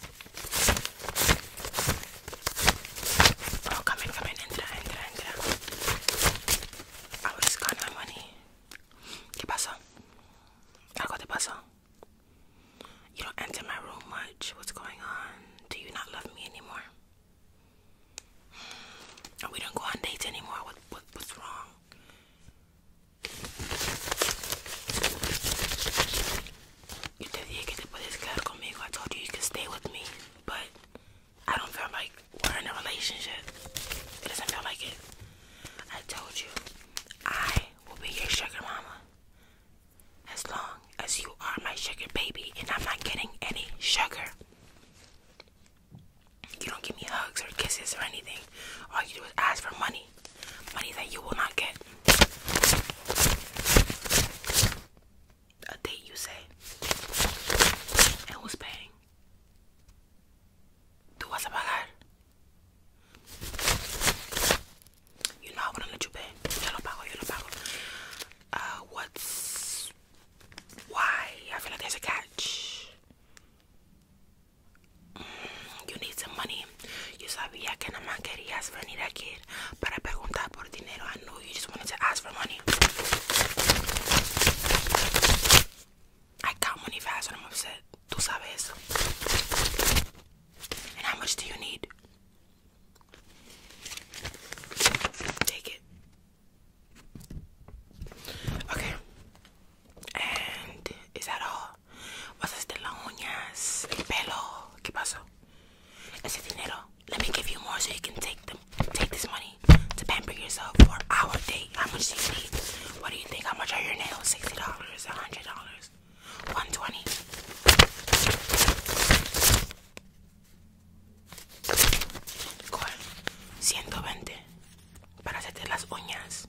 Oh, come in, come in, entra, entra, entra. Ahora es gana money. ¿Qué pasa? ¿Algo te pasa? You don't enter my room much. What's going on? Do you not love me anymore? We don't go on dates anymore. What, what what's wrong? You te dije que te puedes quedar conmigo. I told you you could stay with me, but I don't feel like we're in a relationship. It doesn't feel like it. I told you I will be your sugar mama as long as you are my sugar baby and I'm not getting any sugar. You don't give me hugs or kisses or anything. All you do is ask for money money. that you will not get. A date, you say. who's paying? You know I wouldn't let you pay. Yo lo pago, yo lo pago. Uh, what's... Why? I feel like there's a catch. You need some money. You sabía que nada más I knew you just wanted to ask for money. I count money fast I'm upset. Tú sabes. And how much do you need? Take it. Okay. And is that all? Vas a hacer las uñas, el pelo. ¿Qué pasó? Ese dinero. Let me give you more so you can take them. Take this money to pamper yourself for our date. How much do you need? What do you think? How much are your nails? Sixty dollars, a hundred dollars, one twenty. ¿Cuál? 120 para hacerte las uñas.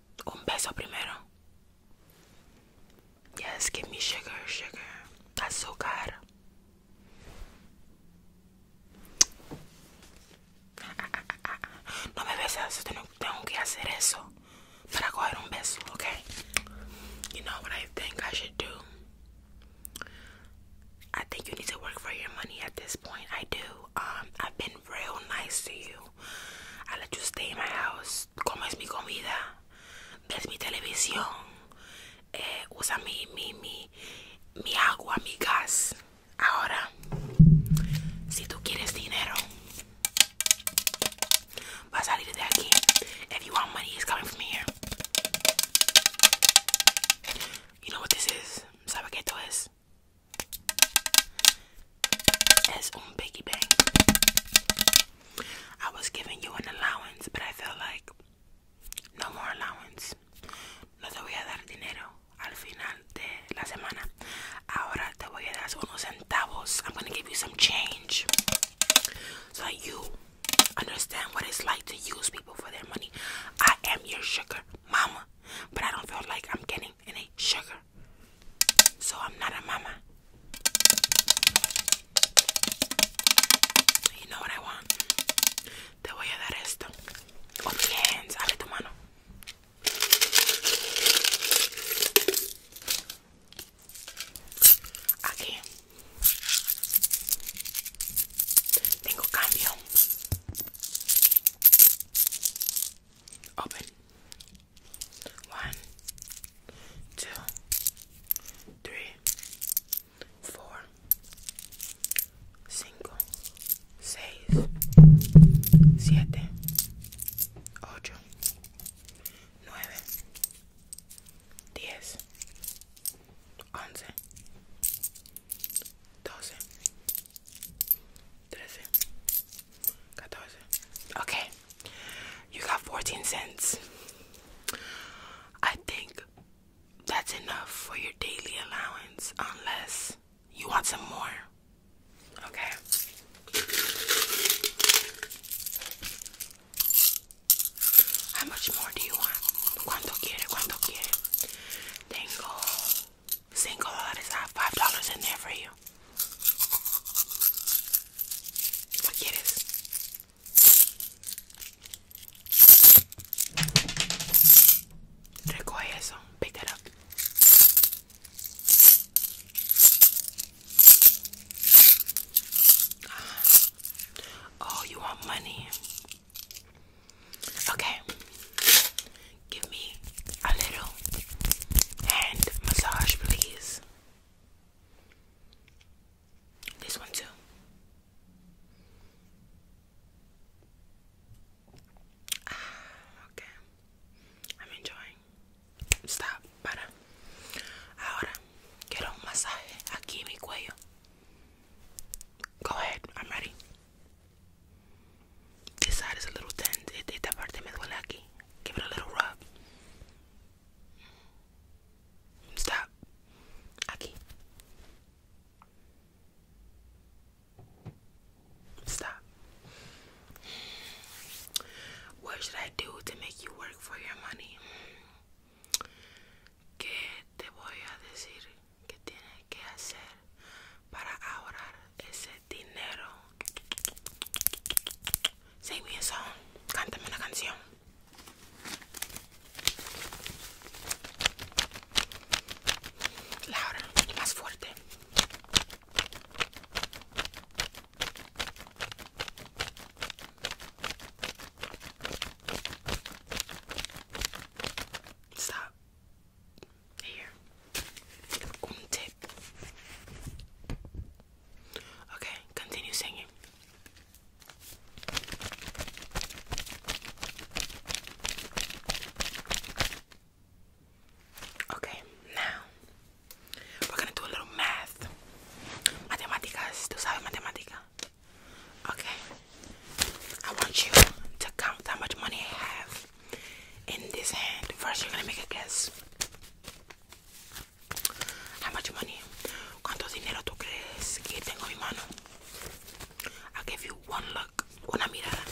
Un beso primero. Yes, give me sugar, sugar. Azúcar. No me besas, tengo que hacer eso para coger un beso, okay? You know what I think I should do? I think you need to work for your money at this point. I do. Um, I've been real nice to you. I let you stay in my house. Cómo es mi comida, ves mi televisión, eh, usa mi, mi, mi, mi agua, mi gas. Ahora, si tú quieres dinero, va a salir de aquí. If you want money, it's coming from here. You know what this is? ¿Sabe qué esto es? as on Piggy Bank. I was giving you an allowance, but I felt like no more allowance. No te voy a dar dinero al final de la semana. Ahora I'm gonna give you some change so that you understand what it's like to use people for their money. I am your sugar mama, but I don't feel like I'm getting cream, it sugar. So I'm not a mama. You know what I want? Te voy a dar esto. Open your tu mano. Aquí tengo cambio. Open, One, two, three, four, cinco, seis, siete, ocho, nueve, diez, once, doce. 13, 14. Okay, you got 14 cents. I think that's enough for your daily allowance, unless you want some more. Okay. How much more do you want? Cuánto quiere, cuánto quiere. Tengo Single orders out five dollars in there for you. Forget it. Recoge eso. Pick that up. Ah. oh, you want money? Okay give me a little hand massage, please. This one, too. Ah, okay. I'm enjoying. Stop, para. Ahora, quiero un masaje aquí en mi cuello. Go ahead, I'm ready. This side is a little thin. Esta parte me duele aquí. Give it a little rub. Stop. Aquí. Stop. What should I do to make you work for your money? ¿Qué te voy a decir que tienes que hacer para ahorrar ese dinero. Sing me a song. Cántame una canción. Laura, más fuerte. Stop. Here. Un Okay, continue singing. Okay, now we're gonna do a little math. Matemáticas, tú sabes matemática. Okay, I want you to count how much money I have in this hand. First, you're gonna make a guess. How much money? ¿Cuánto dinero tú crees que tengo en mi mano? I'll you one look, una mirada.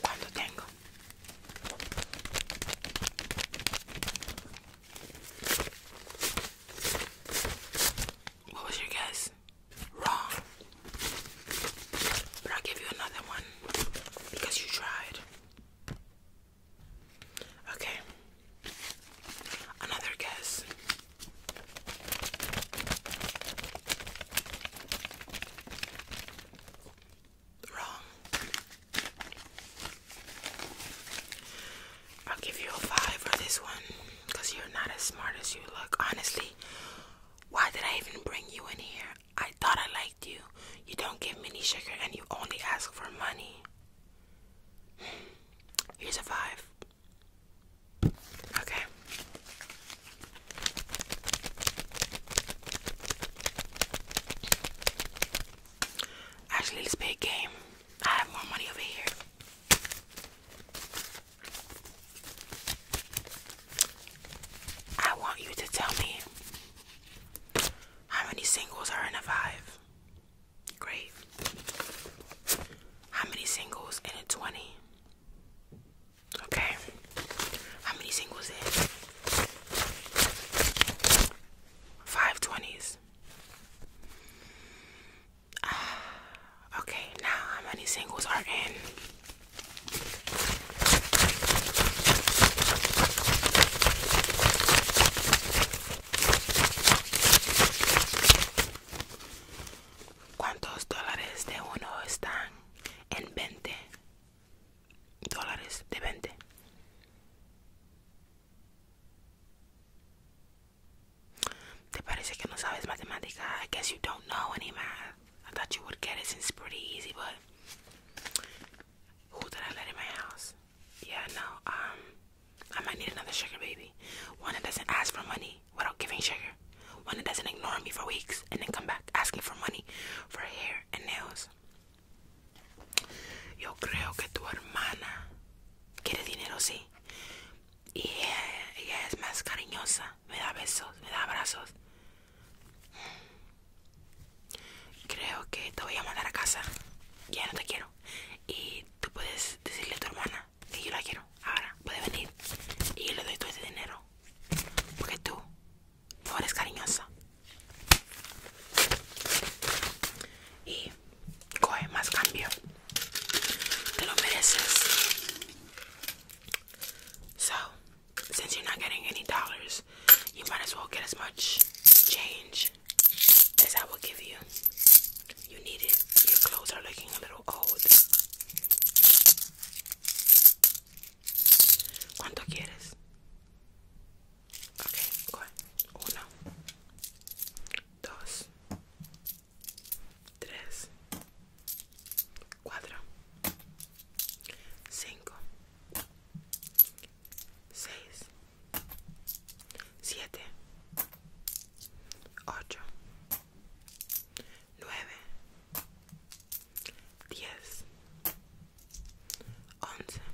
¿Cuánto tengo? What was your guess? Wrong. But i give you another one because you tried. Okay. Another guess. Wrong. I'll give you a five for this one because you're not as smart as you look. Honestly, why did I even bring you in here? I thought I liked you. You don't give me any sugar and you only ask for money. Hmm. Here's a five. Okay. Actually, let's play a game. I have more money over here. I want you to tell me how many singles are in a five. Great. How many singles in a 20? Okay. How many singles in? Five 20s. okay, now how many singles are in? ¿Cuántos dólares de uno están en 20? Dólares de 20. ¿Te parece que no sabes matemática? I guess you don't know any math. I thought you would get it since it's pretty easy, but who did I let in my house? Yeah, no. Um, I might need another sugar baby. One that doesn't ask for money without giving sugar. One that doesn't ignore me for weeks and then come back asking for money for hair and nails. Yo creo que tu hermana quiere dinero, sí. Y ella, es más cariñosa, me da besos, me da abrazos. Creo que te voy a mandar a casa. Ya no te quiero. Y tú puedes decirle a tu hermana que yo la quiero. Ahora puede venir y yo le doy todo ese dinero. Porque tú no eres cariñosa. Y So, since you're not getting any dollars, you might as well get as much change as I will give you. You need it. Your clothes are looking a little old. ¿Cuánto quieres? Okay, dos, tres, cuatro, cinco, seis, siete, ocho, nueve, diez, once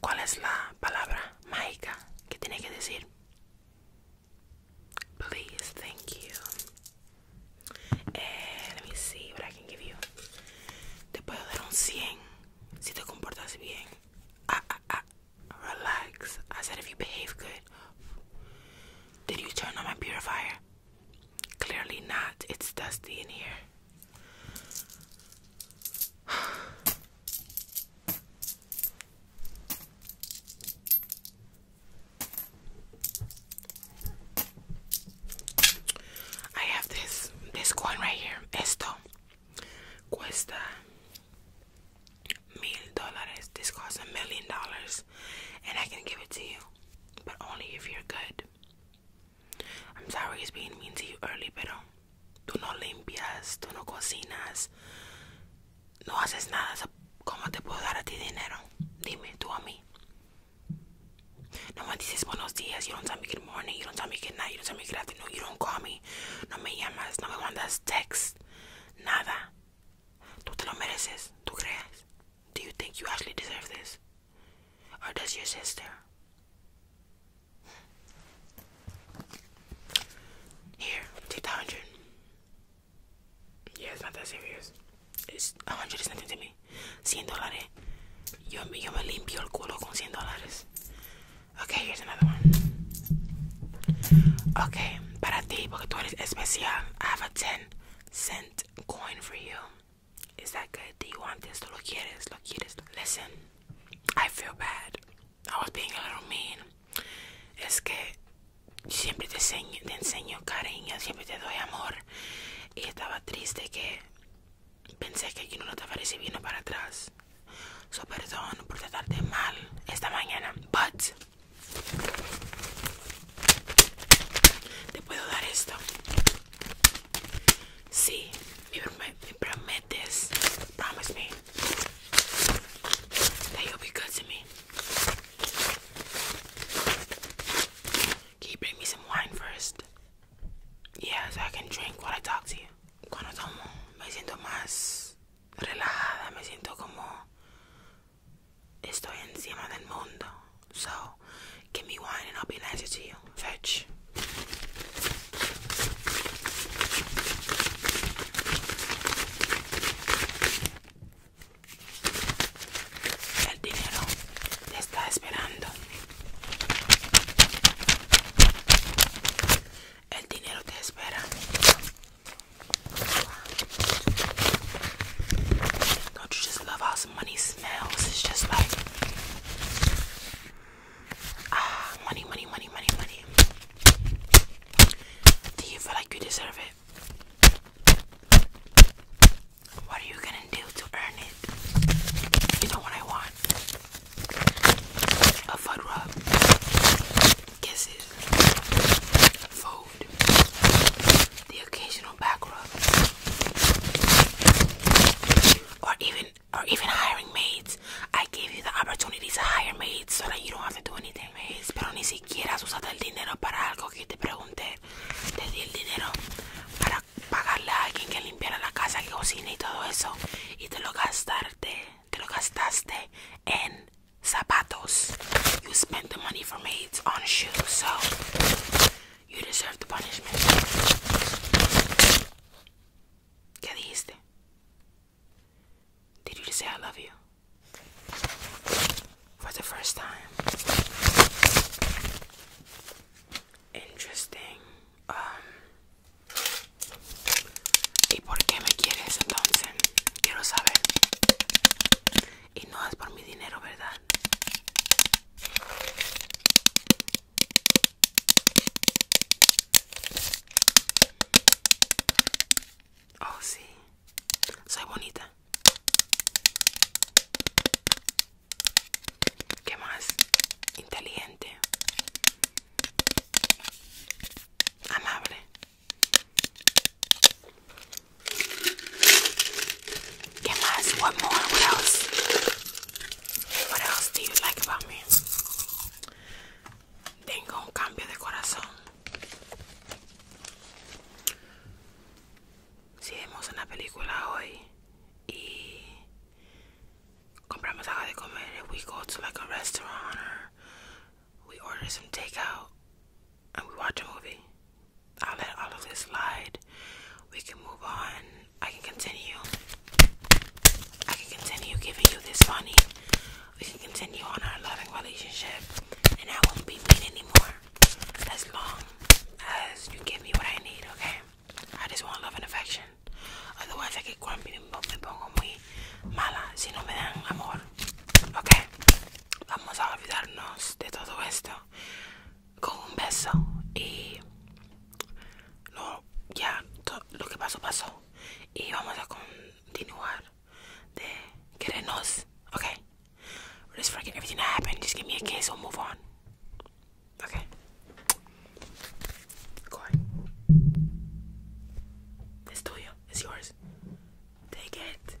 What is the magic word mágica que tiene que Please, thank you. Eh, let me see what I can give you. Te puedo dar un 100 si te comportas bien. Ah, ah, ah. Relax. I said if you behave good. Did you turn on my purifier? Clearly not. It's dusty in here. I have this this coin right here. Esto cuesta mil dólares. This costs a million dollars, and I can give it to you, but only if you're good. I'm sorry it's being mean to you early, pero tú no limpias, tú no cocinas, no haces nada. ¿Cómo te puedo dar a ti dinero? Dime, tú a mí. No me dices buenos días, you don't tell me good morning, you don't tell me good night, you don't tell me good afternoon, you don't call me. No me llamas, no me mandas text, nada. Tú te lo mereces, tú crees. Do you think you actually deserve this? Or does your sister? Here, take the Yeah, it's not that serious. It's a hundred is nothing to me. 100 dólares. Yo, yo me limpio el culo con 100 dólares. Okay, here's another one. Okay, para ti, porque tú eres especial. I have a 10 cent coin for you. ¿Es que? ¿Quieres esto? ¿Lo good? Do antes tú ¿Lo quieres? ¿Lo quieres? Listen, I feel bad. I was being a little mean. Es que siempre te enseño, te enseño cariño, siempre te doy amor. Y estaba triste que pensé que aquí no lo estaba recibiendo para atrás. So perdón por tratarte mal esta mañana. But te puedo dar esto. Sí, me, me prometes. Promise me that you'll be good to me. Can you bring me some wine first? Yeah, so I can drink while I talk to you. Cuando tomo, me siento más relajada, me siento como estoy encima del mundo. So give me one and I'll be nicer to you. Fetch. El dinero te está esperando. El dinero te espera. I just love how some money smells? It's just like ah, money, money, money, money, money. Do you feel like you deserve it? What are you gonna do to earn it? You know what I want? A foot rub, kisses, food, the occasional back rub or even or even hiring maids. I give you the opportunity to hire maids so that you don't have to do anything, maids. Pero ni siquiera has usado el dinero para algo que te pregunté. Te di el dinero para pagarle a alguien que limpiara la casa, que cocine y todo eso. Y te lo gastaste, te lo gastaste en zapatos. You spent the money for maids on shoes, so you deserve the punishment. ¿Qué dijiste? Did you just say I love you? For the first time. Interesting. Um, ¿Y por qué me quieres entonces? Quiero saber. Y no es por mi dinero, ¿verdad? Oh, sí. Soy bonita. ¿Qué más? Inteligente. Amable. What more? What else? What else do you like about me? Tengo un we go to like a restaurant or we order some takeout and we watch a movie. I'll let all of this slide. We can move on. I can continue. I can continue giving you this money. We can continue on our loving relationship, and I won't be mean anymore. As long as you give me what I need, okay? I just want love and affection. Otherwise, I get grumpy and me pongo muy mala si no me dan amor. Okay? Vamos a olvidarnos de todo esto. con un beso y ya todo lo que pasó pasó y vamos a continuar de querernos, okay? We'll everything that happened. Just give me a kiss or move on, okay? Go ahead. It's tuyo. It's yours. Take it.